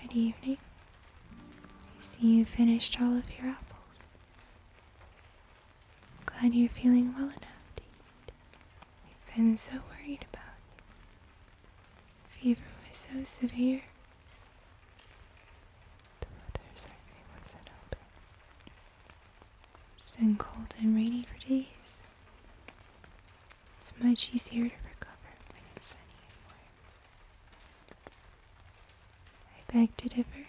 Good evening. I see you finished all of your apples glad you're feeling well enough to eat. We've been so worried about Fever was so severe. The weather certainly wasn't open. It's been cold and rainy for days. It's much easier to recover when it's sunny and warm. I beg to differ.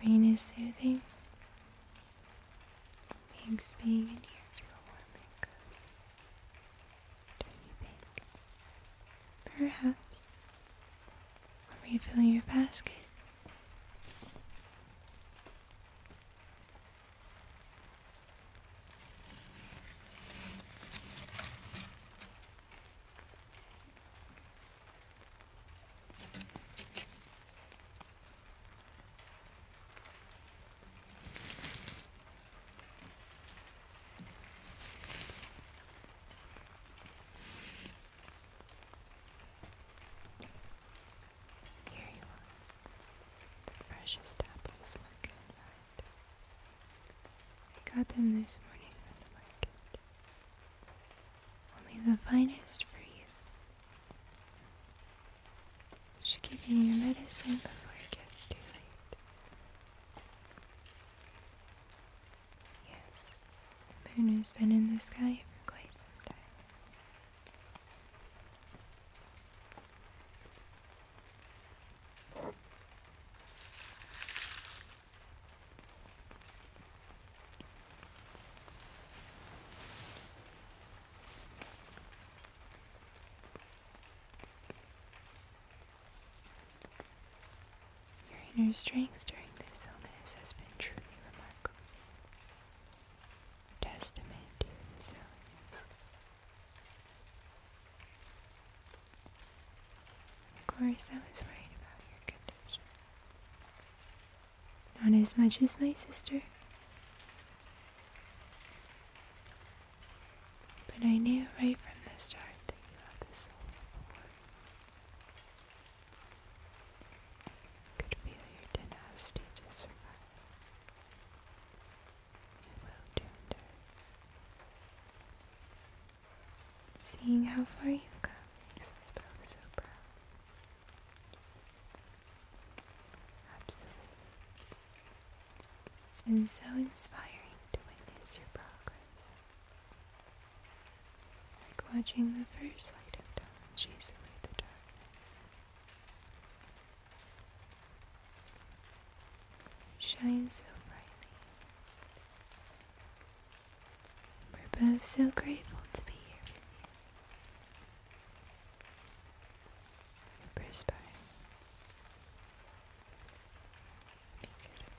The rain is soothing. Makes being in here feel warm and do you think? Perhaps I'll your basket. Here you are. The freshest apples were good, right? I got them this morning from the market. Only the finest for you. I should give you your medicine before it gets too late. Yes, the moon has been in the sky for quite some time. Your inner strength during this illness has been truly remarkable. Testament to your resilience. Of course, I was right about your condition. Not as much as my sister. But I knew right from the start that you have the soul of a Could feel your tenacity to survive. Your will to endure. Seeing how far you've come makes us both so proud. Absolutely. It's been so inspiring to witness your progress. Like watching the first light of dawn chase away the darkness. Shine so brightly. We're both so grateful to be here with you. Perspire. Thank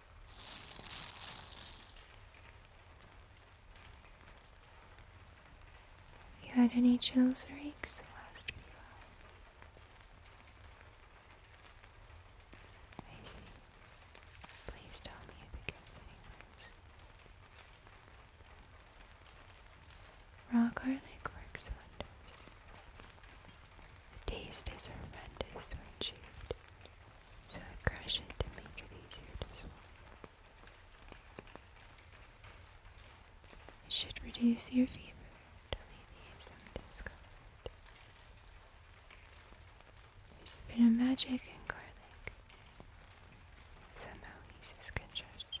You had any chills or aches the last few hours? I Please tell me it gets any worse. Raw garlic works wonders. The taste is horrendous when chewed, so I crush it to make it easier to swallow. It should reduce your fever to alleviate some discomfort. There's a bit of magic in garlic. somehow eases congestion.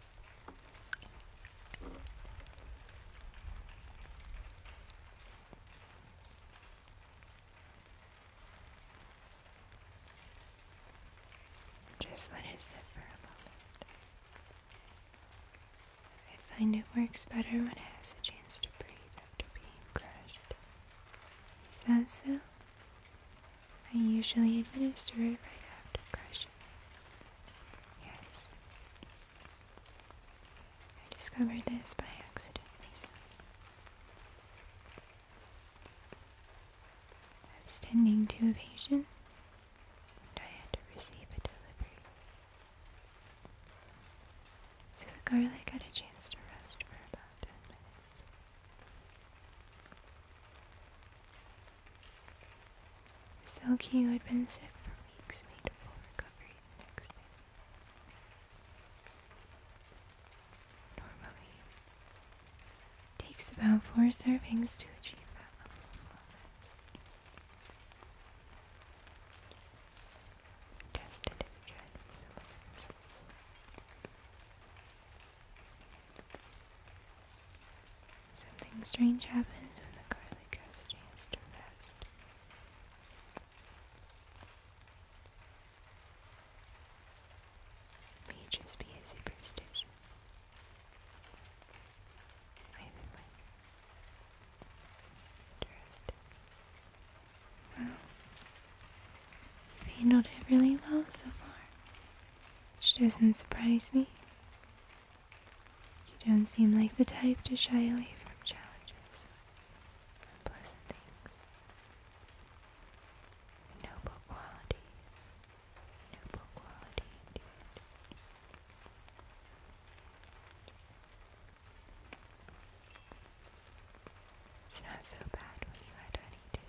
Just let it sit for a moment. I find it works better when it has a chance to breathe after being crushed. Is that so? I usually administer it right after crushing. Yes. I discovered this by accident I was tending to a patient, and I had to receive a delivery. So the garlic had a chance to rest for about 10 minutes. Silky, who had been sick for weeks, made full recovery next Normally, takes about four servings to achieve that level of wellness. Tested it again with similar Something strange happens when the garlic has a chance to rest. may just be a superstition. Either way. Interesting. Well, you've handled it really well so far, which doesn't surprise me. You don't seem like the type to shy away from challenges or things. Noble quality. Noble quality indeed. It's not so bad when you add honey to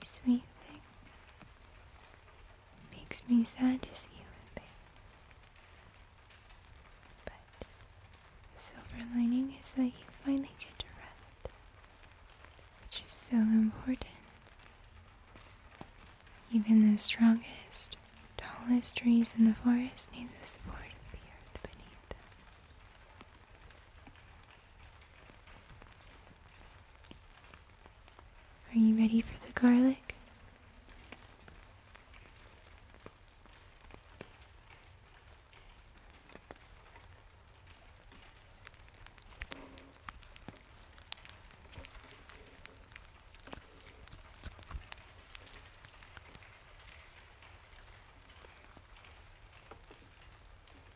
you sweet thing. Makes me sad to see you in pain. But the silver lining is that you finally get to rest, which is so important. Even the strongest, tallest trees in the forest need the support of the earth beneath them. Are you ready for the garlic?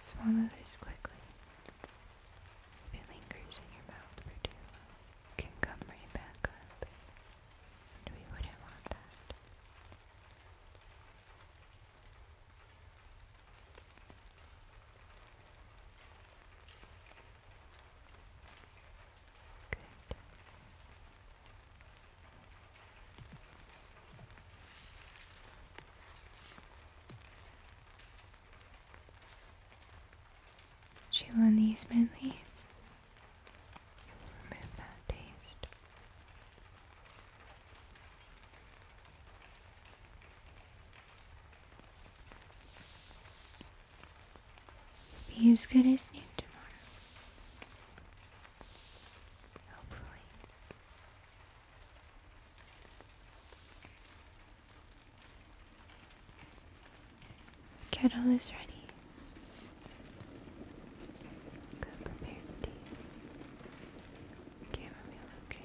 Swallow this quickly. If it lingers in your mouth for too long, it can come right back up, and we wouldn't want that. Good. Chew on these mint leaves. You will remove that taste. Be as good as new tomorrow. Kettle is ready. Go prepare the tea. Chamomile, okay.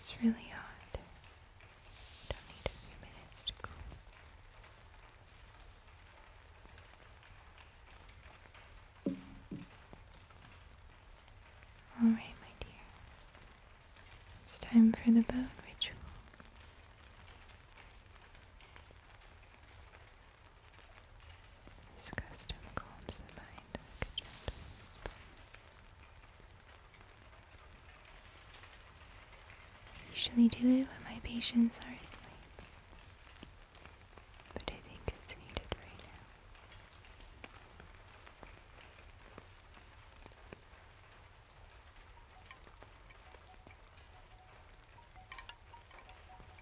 It's really hot. Don't need a few minutes to cool. All right, my dear. It's time for the bone ritual. This custom calms the mind like a gentle I usually do it when my patients are asleep, but I think it's needed right now.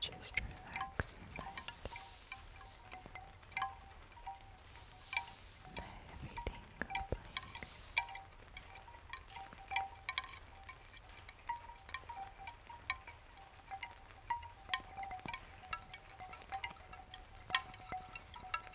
Just relax your mind. Let everything go blank. Relax.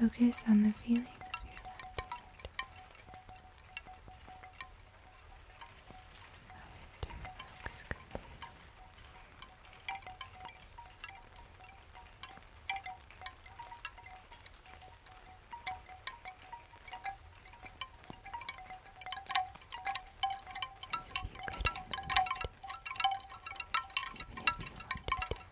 Focus on the feeling of your left as if you could remove it, even if you wanted to. Now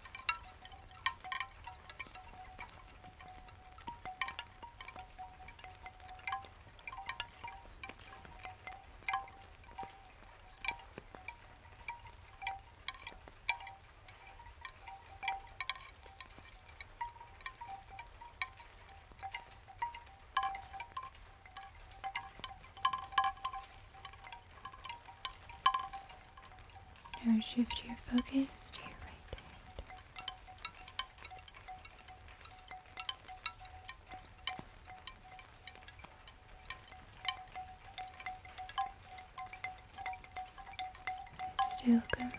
now shift your focus to your right hand. still complete.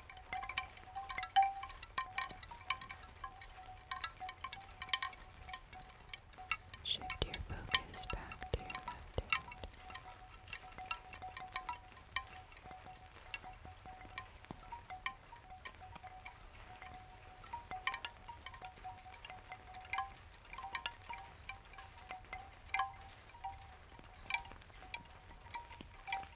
Shift your focus back to your left hand.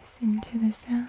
Listen to the sounds.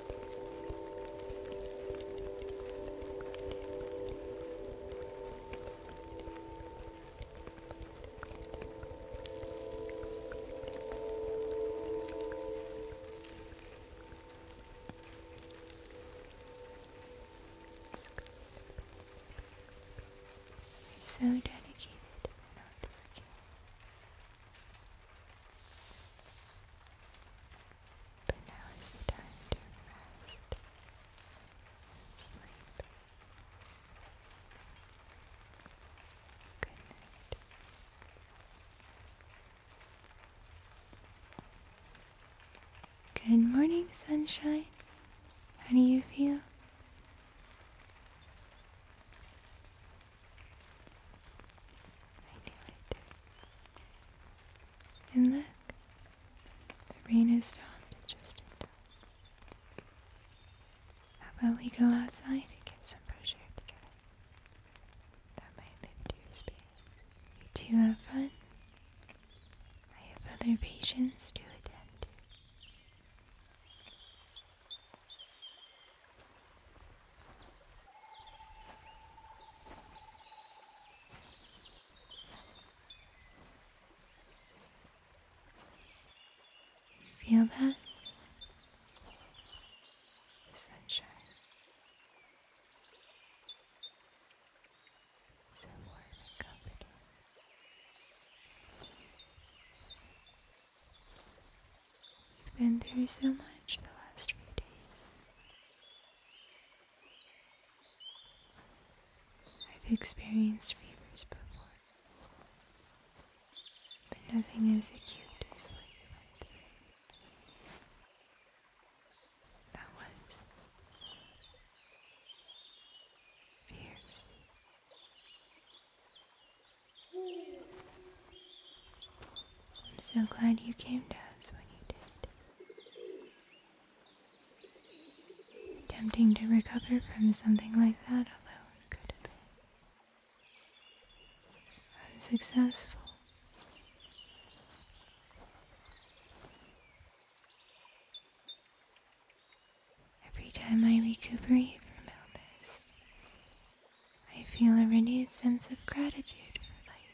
You're so dedicated and hardworking. But now is the time to rest Good night. Good morning, sunshine. How do you feel? I knew it. And look, the rain has stopped just in time. How about we go outside and get some fresh air together? That might lift your spirits. You two have fun. I have other patients to attend to. Feel that? The sunshine. So warm and comforting. You've been through so much the last few days. I've experienced fevers before, but nothing as acute as what you went through. That was fierce. I'm so glad you came to us when you did. Tempting to recover from something like that alone could be unsuccessful. Every time I recuperate from illness, I feel a renewed sense of gratitude for life.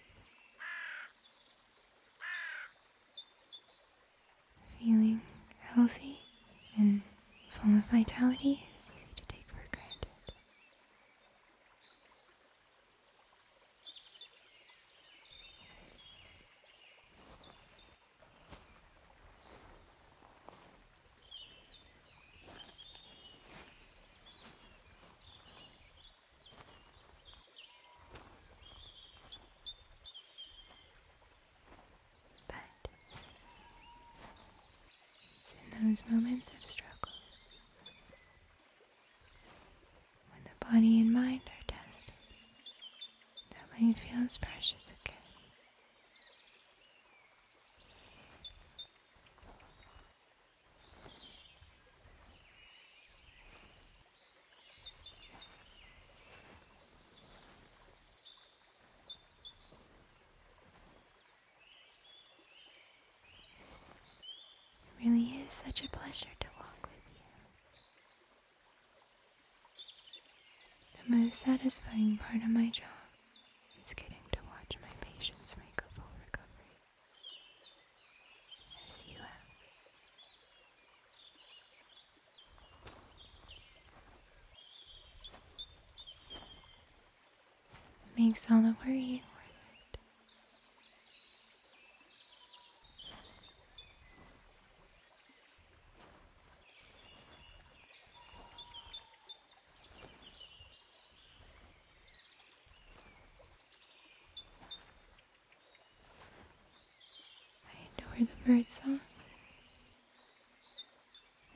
Feeling healthy and full of vitality is easy to take for granted. But it's in those moments of struggle when the body and mind are tested that life feels precious again. It really is such a pleasure to walk with you. The most satisfying part of my job is getting to watch my patients make a full recovery as Makes all the worrying worth it. I adore the bird song,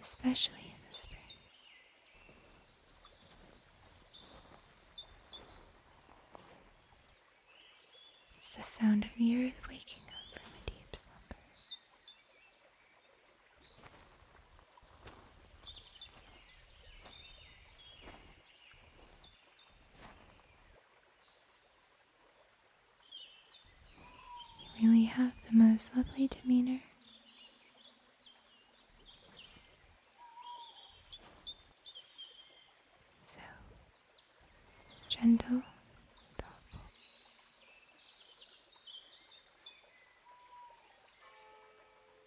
especially in the spring. It's the sound of the earth waking up from a deep slumber. You really have the most lovely demeanor. So gentle, thoughtful.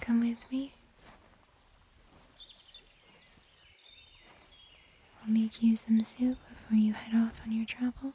Come with me. i will make you some soup before you head off on your travels.